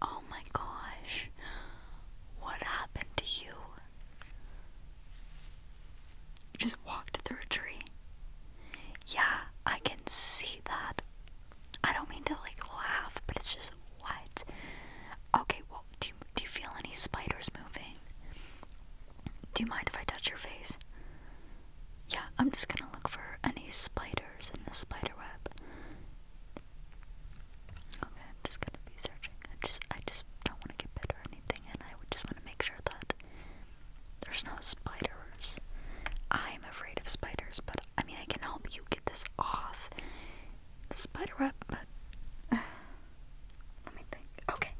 Oh my gosh. What happened to you? You just walked through a tree. Yeah, I can see that. I don't mean to like laugh, but it's just what? Okay, well, do do you feel any spiders moving? Do you mind if I touch your face? yeah, I'm just gonna look for any spiders in the spider web. Okay, I'm just gonna be searching. I just I just don't wanna get bit or anything and I just wanna make sure that there's no spiders. I'm afraid of spiders, but I mean I can help you get this off the spider web, but let me think. Okay.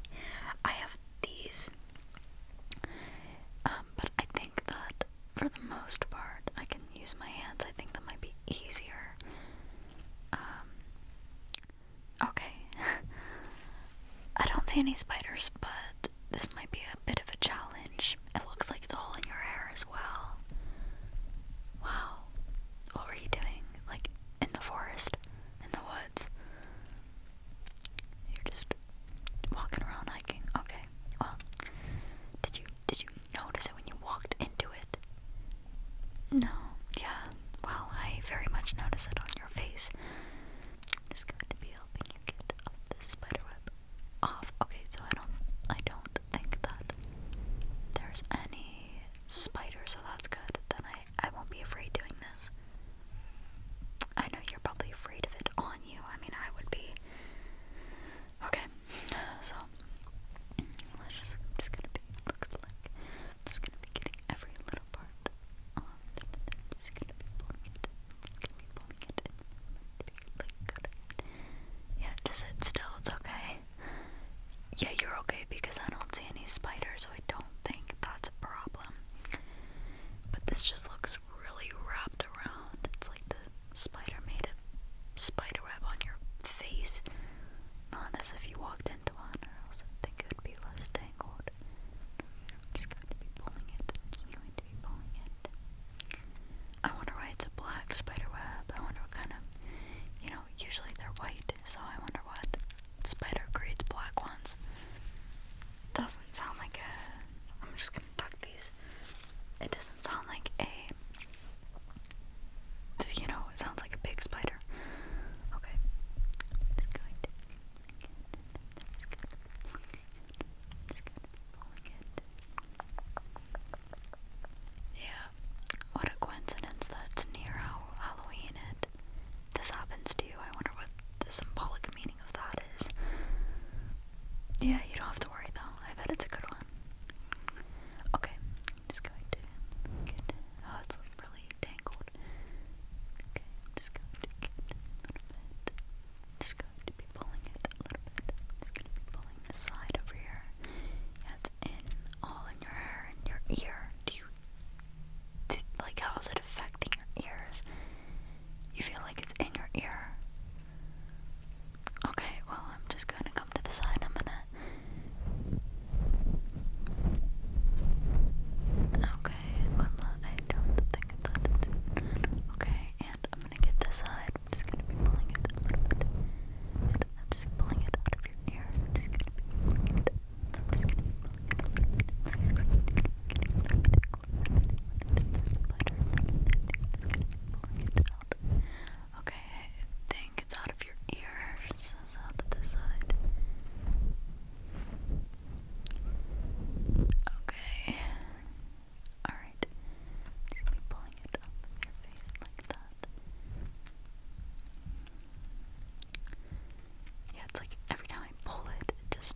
I have these um, but I think that for the most part, I can use my hands. I think that might be easier. Um, okay. I don't see any spiders, but this might be a bit of a challenge. It looks like it's all in your hair as well. Wow. What were you doing? Like in the forest? In the woods? You're just walking around hiking. Okay. Well, did you did you notice it when you walked into it? No. Yeah. Well, I very much notice it on your face. I'm just going to be helping you get all this web off. Okay, so I don't I don't think that there's any spider, so that's good. Then I I won't be afraid doing this. I know you're probably afraid of it on you. I mean, I would be. Okay, so let just. gonna be. Looks just gonna be getting every little part. just gonna be pulling it. Gonna be pulling it. Like, good. Yeah, just sit still. It's okay. Yeah, you're okay because I don't see any spiders, so I don't think that's a problem. But this just looks really wrapped around. It's like the spider made a spider on your face. Not as if you walked into one, or else it would be less tangled. just going to be pulling it. just going to be pulling it. I wonder why it's a black spider web. I wonder what kind of, you know, usually they're white, so I wonder what spider creates black ones. Doesn't sound like a. I'm just gonna tuck It doesn't sound like a. You know, it sounds like a big spider. Okay. Yeah. What a coincidence that's near how Halloween it. This happens to you. I wonder what the symbolic meaning of that is. Yeah, you don't have to worry though. I bet it's a good one. Okay, just going to get. Oh, it's really tangled. Okay, just going to get a Just going to be pulling it a little bit. just going to be pulling this side over here. Yeah, it's in all in your hair and your ear. Do you. Did, like, how is it affecting your ears? You feel like it's in your ear. Okay, well, I'm just going to come to the side. I'm going to. Okay, well, I don't think that Okay, and I'm going to get this side. I'm just going to be pulling it I'm just pulling it out of your ear. I'm just going to be Okay, I think it's out of your ears. It's out of this side. Okay. Alright. Just be pulling it up in your face like that. Yeah, it's like every time I pull it, it just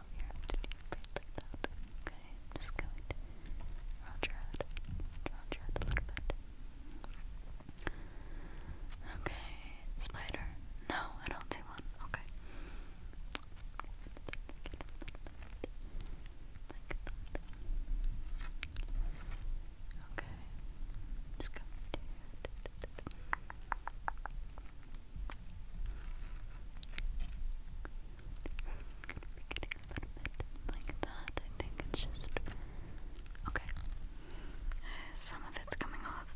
Oh, I'm Okay, just going to your head. Round a little bit. Okay, spider. No, I don't see one. Okay. Okay like that. I think it's just okay. Some of it's coming off.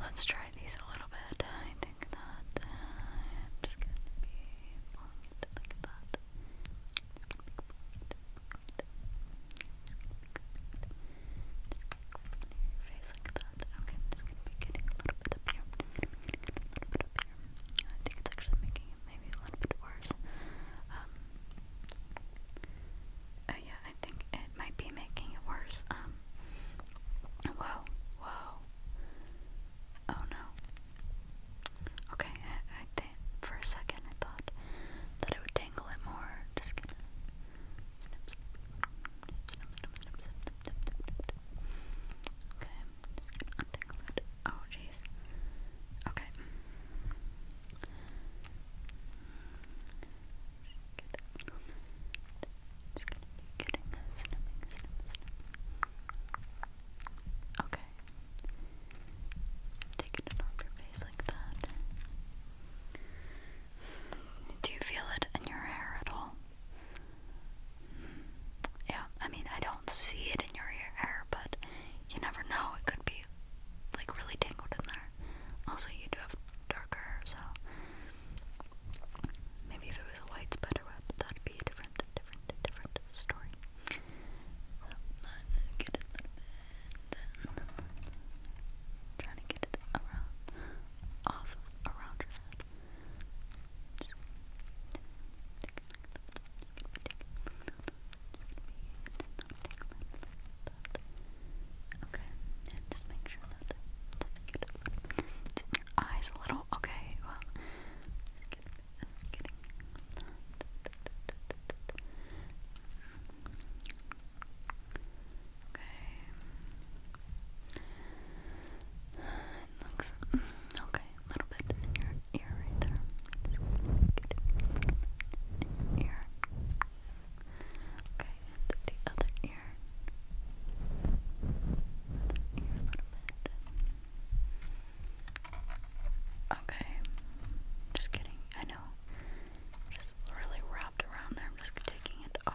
Let's try these a little bit. I think that uh, I'm just gonna be like that. Okay, i just getting a little bit up here. A little bit up here. I think it's actually making it maybe a little bit worse. yeah, I think it might be making it worse. Whoa, whoa. Oh no. Okay, for a second I thought that it would tangle it more. Just going Okay, just gonna untangle it. Oh, jeez. Okay. Just gonna getting a Okay. Taking it off your face like that. Do you feel it in your hair at all? Yeah, I mean, I don't see it in your ear but you never know. It could be like really tangled in there. Also, you do have darker hair, so maybe if it was a white spiderweb, that'd be a different, different, different story. Trying to get it around, off around your head. Okay, and just make sure that it's in your eyes a little. Okay, well, getting that. Okay. looks mm, okay. A little bit in your ear right there. Just get ear. Okay, the other ear. ear a little bit. Okay. Just kidding. I know. Just really wrapped around there. I'm just taking it off.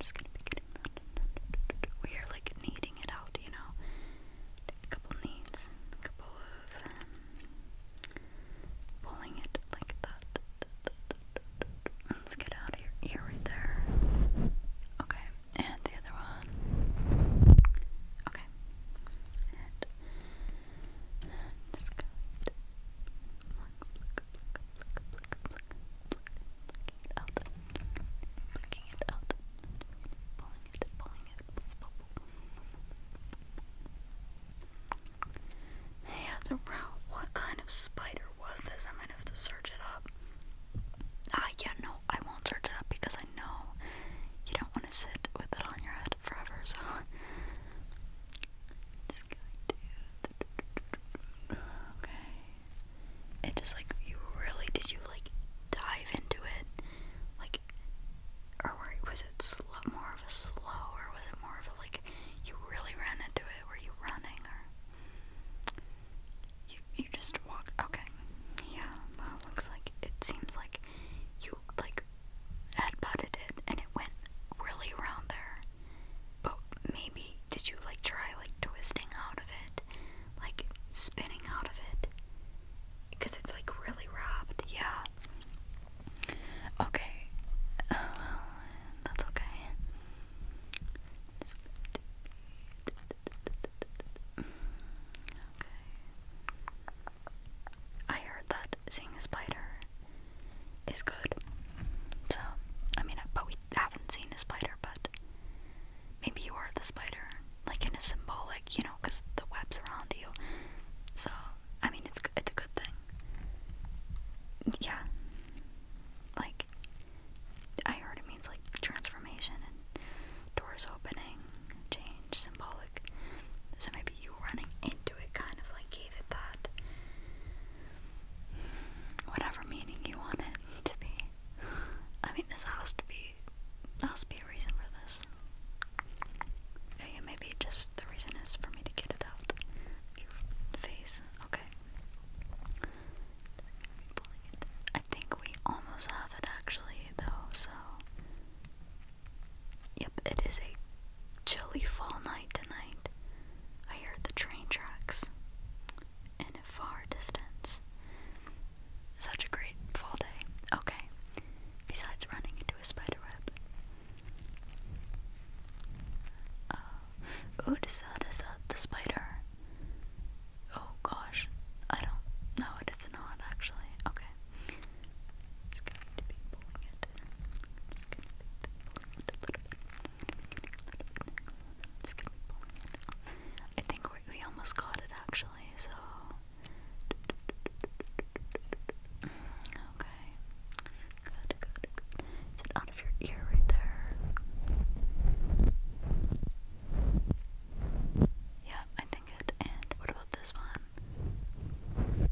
just We are like kneading it out, you know. a couple kneads, couple of um, pulling it like that. Let's get out of your ear right there. Okay, and the other one. Okay. I'm just going to it out, plucking it out, pulling it, pulling it. Hey, at the route, what kind of spider was this? I might have to search it up. Ah, yeah, no, I won't search it up because I know you don't want to sit with it on your head forever, so Okay. It just like you really did you like dive into it? Like or was it more of a slow or was it more of like you really ran into it? Were you running or you you just walk okay. Yeah, well looks like it seems like you like had headbutted it and it went really around there. But maybe did you like try like twisting out of it? Like spinning out of it? Because it's like really wrapped. yeah. Okay. Uh, that's okay. I heard that seeing a spider is good. So, I mean, I we haven't seen a spider, but maybe you are the spider, like in a symbolic, you know, because the web's around you. So, I mean, it's it's a good thing. Yeah, like I heard it means like transformation and doors opening change, symbolic. So maybe you running into it kind of like gave it that whatever meaning you want it to be. I mean this has to be has to be a reason for this. Yeah, maybe just the reason is for me to get it out face. Okay. I think we almost have it actually though, so Yep, it is a chilly fall night tonight. I heard the train tracks in a far distance. Such a great fall day. Okay, besides running into a spiderweb. Uh, what is that? Is that the spider? Oh gosh, I don't know. It's not actually. Okay just i think we, we almost got it actually, so. Okay. good, good. Is it out of your ear right there? Yeah, I think it. And what about this one.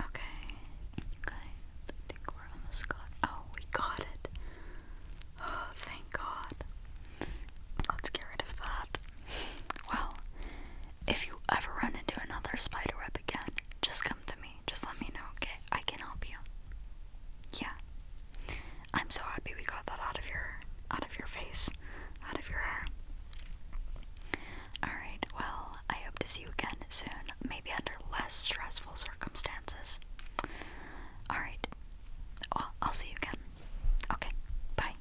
Okay, you I think we're almost got. Oh, we got it. Oh, thank God. Let's get rid of that. Well, if you ever run into another spider web again, just come to me. Just let me know, okay? I can help you. Yeah, I'm so happy we got that out of your out of your face, out of your hair. Alright, well, I hope to see you again soon, maybe under less stressful circumstances. Alright, well, I'll see you again. Okay, bye.